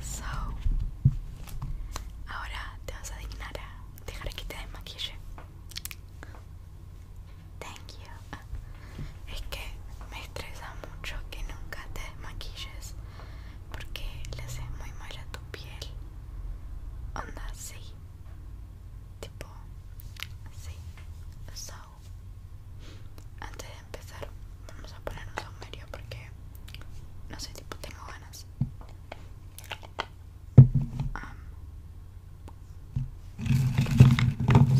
So, ahora te vas a dignar a dejar que te desmaquille. Thank you. Es que me estresa mucho que nunca te desmaquilles porque le hace muy mal a tu piel. Onda, sí. Tipo, sí. So, antes de empezar, vamos a poner un medio porque no sé, tipo, tengo ganas.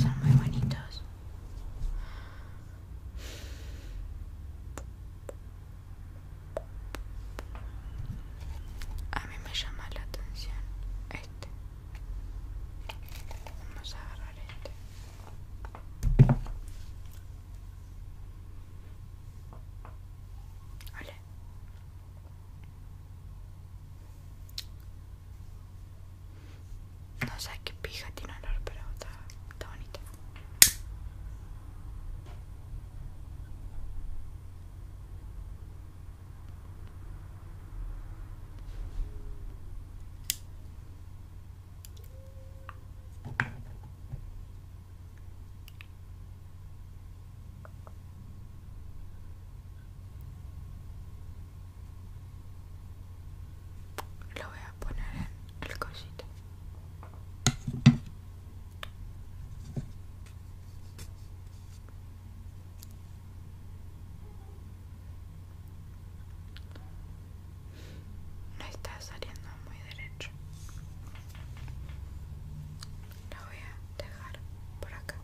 son muy bonitos. A mí me llama la atención este. Vamos a agarrar este. No sé qué pija tiene olor, pero está, bonito bonita. Lo voy a poner en el cosito no está saliendo muy derecho la voy a dejar por acá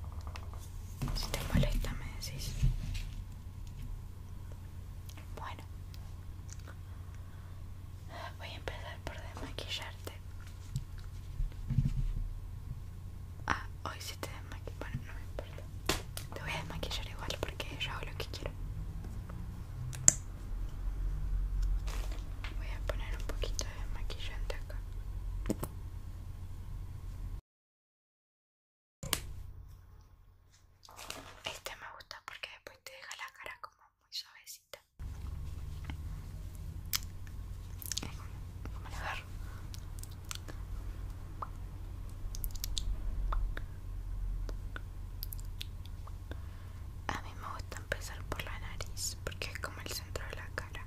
si te molesta me decís bueno voy a empezar por desmaquillarte ah hoy si sí te desmaquillo bueno no me importa te voy a desmaquillar igual porque yo hago lo que quiero. Voy a poner un poquito de maquillante acá. Este me gusta porque después te deja la cara como muy suavecita. Como a mí me gusta empezar por la nariz porque es como el centro de la cara.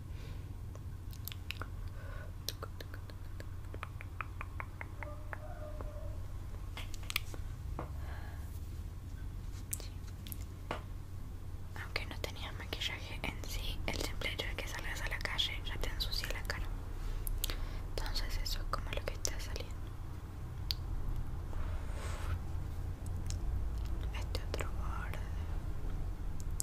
Aunque no tenía maquillaje en sí, el simple hecho de que salgas a la calle ya te ensucia la cara. Entonces eso es como lo que está saliendo. Este otro borde.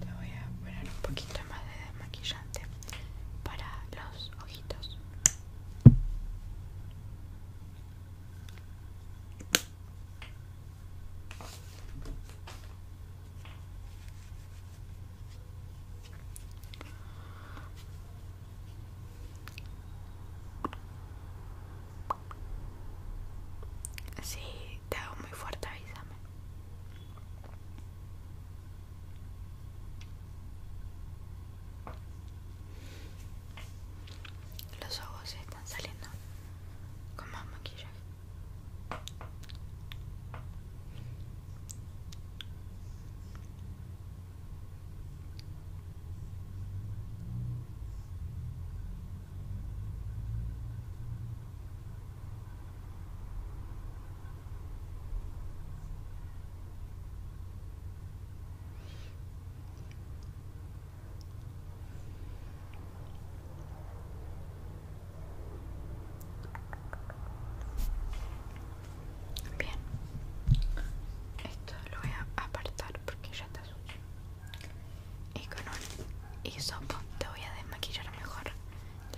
Te voy a poner un poquito más de maquillante para los ojitos. Sí, te hago muy fuerte, avísame. Los ojos están saliendo con más maquillaje. Bien, esto lo voy a apartar porque ya está sucio y con un hisopo te voy a desmaquillar mejor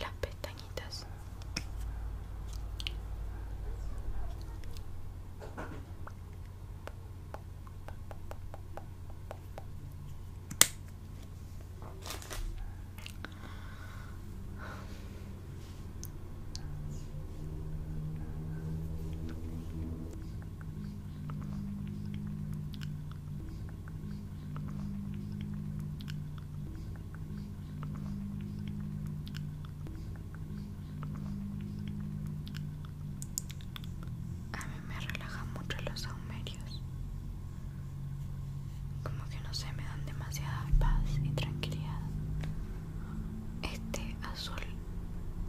las pestañitas. A mí me relajan mucho los aumerios Como que no sé, me dan demasiada paz y tranquilidad. Este azul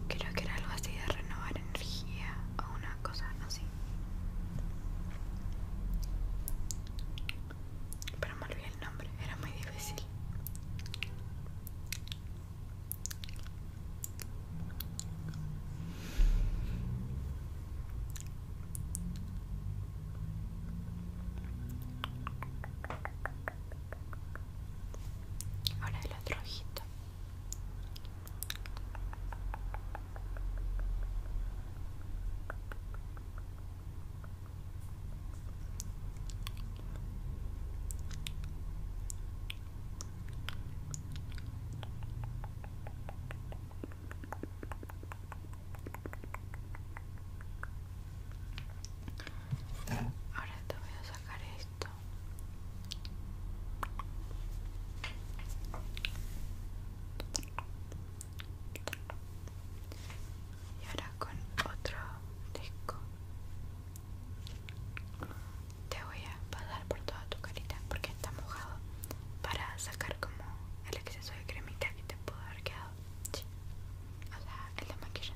creo que era algo así de renovar energía a una Cosas así. Pero me olvidé el nombre, era muy difícil. Ahora el otro ojito. Ahora te voy a sacar esto y ahora con otro disco te voy a pasar por toda tu carita porque está mojado para sacar como el exceso de cremita que te pudo haber quedado. en la de maquillaje.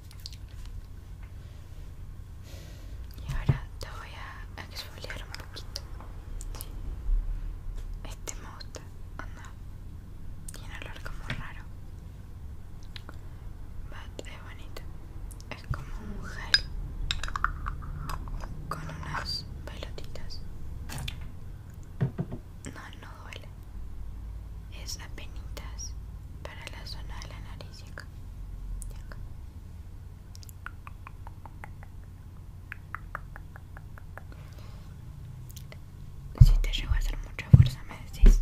Y ahora te voy a exfoliar un poquito. Este me gusta, Tiene olor como raro. But es bonito. Es como un gel con unas pelotitas. No, no duele es apenitas para la zona de la nariz Si te llegó a hacer mucha fuerza, me decís.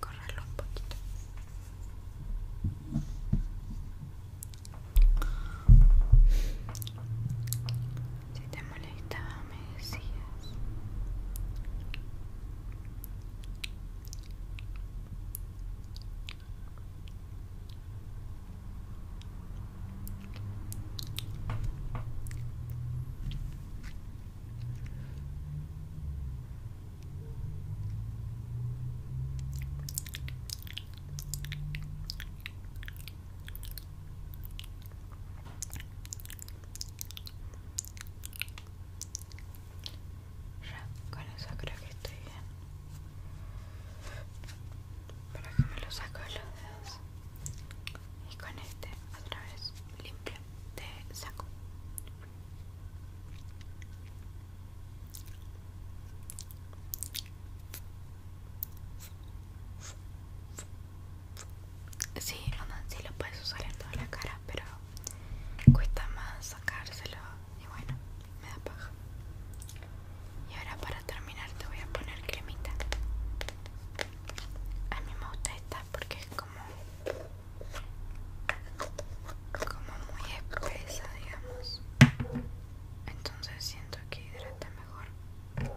Corralo un poquito si te molestaba me decías ya, con eso creo que estoy bien. Para que me lo saco de los dedos. Y con este, otra vez limpio, te saco. Sí, bueno, sí lo puedes usar en toda la cara, pero cuesta más sacárselo y bueno, me da paja. Y ahora para terminar te voy a poner cremita. A mí me gusta esta porque es como como muy espesa digamos entonces siento que hidrata mejor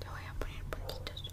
te voy a poner puntitos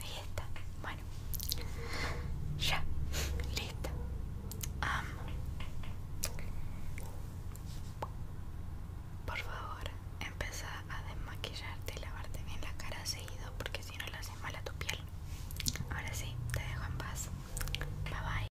Ahí está. Bueno. Ya. Listo. Amo por favor, empieza a desmaquillarte y lavarte bien la cara seguido porque si no le haces mal a tu piel. Ahora sí, te dejo en paz. Bye bye.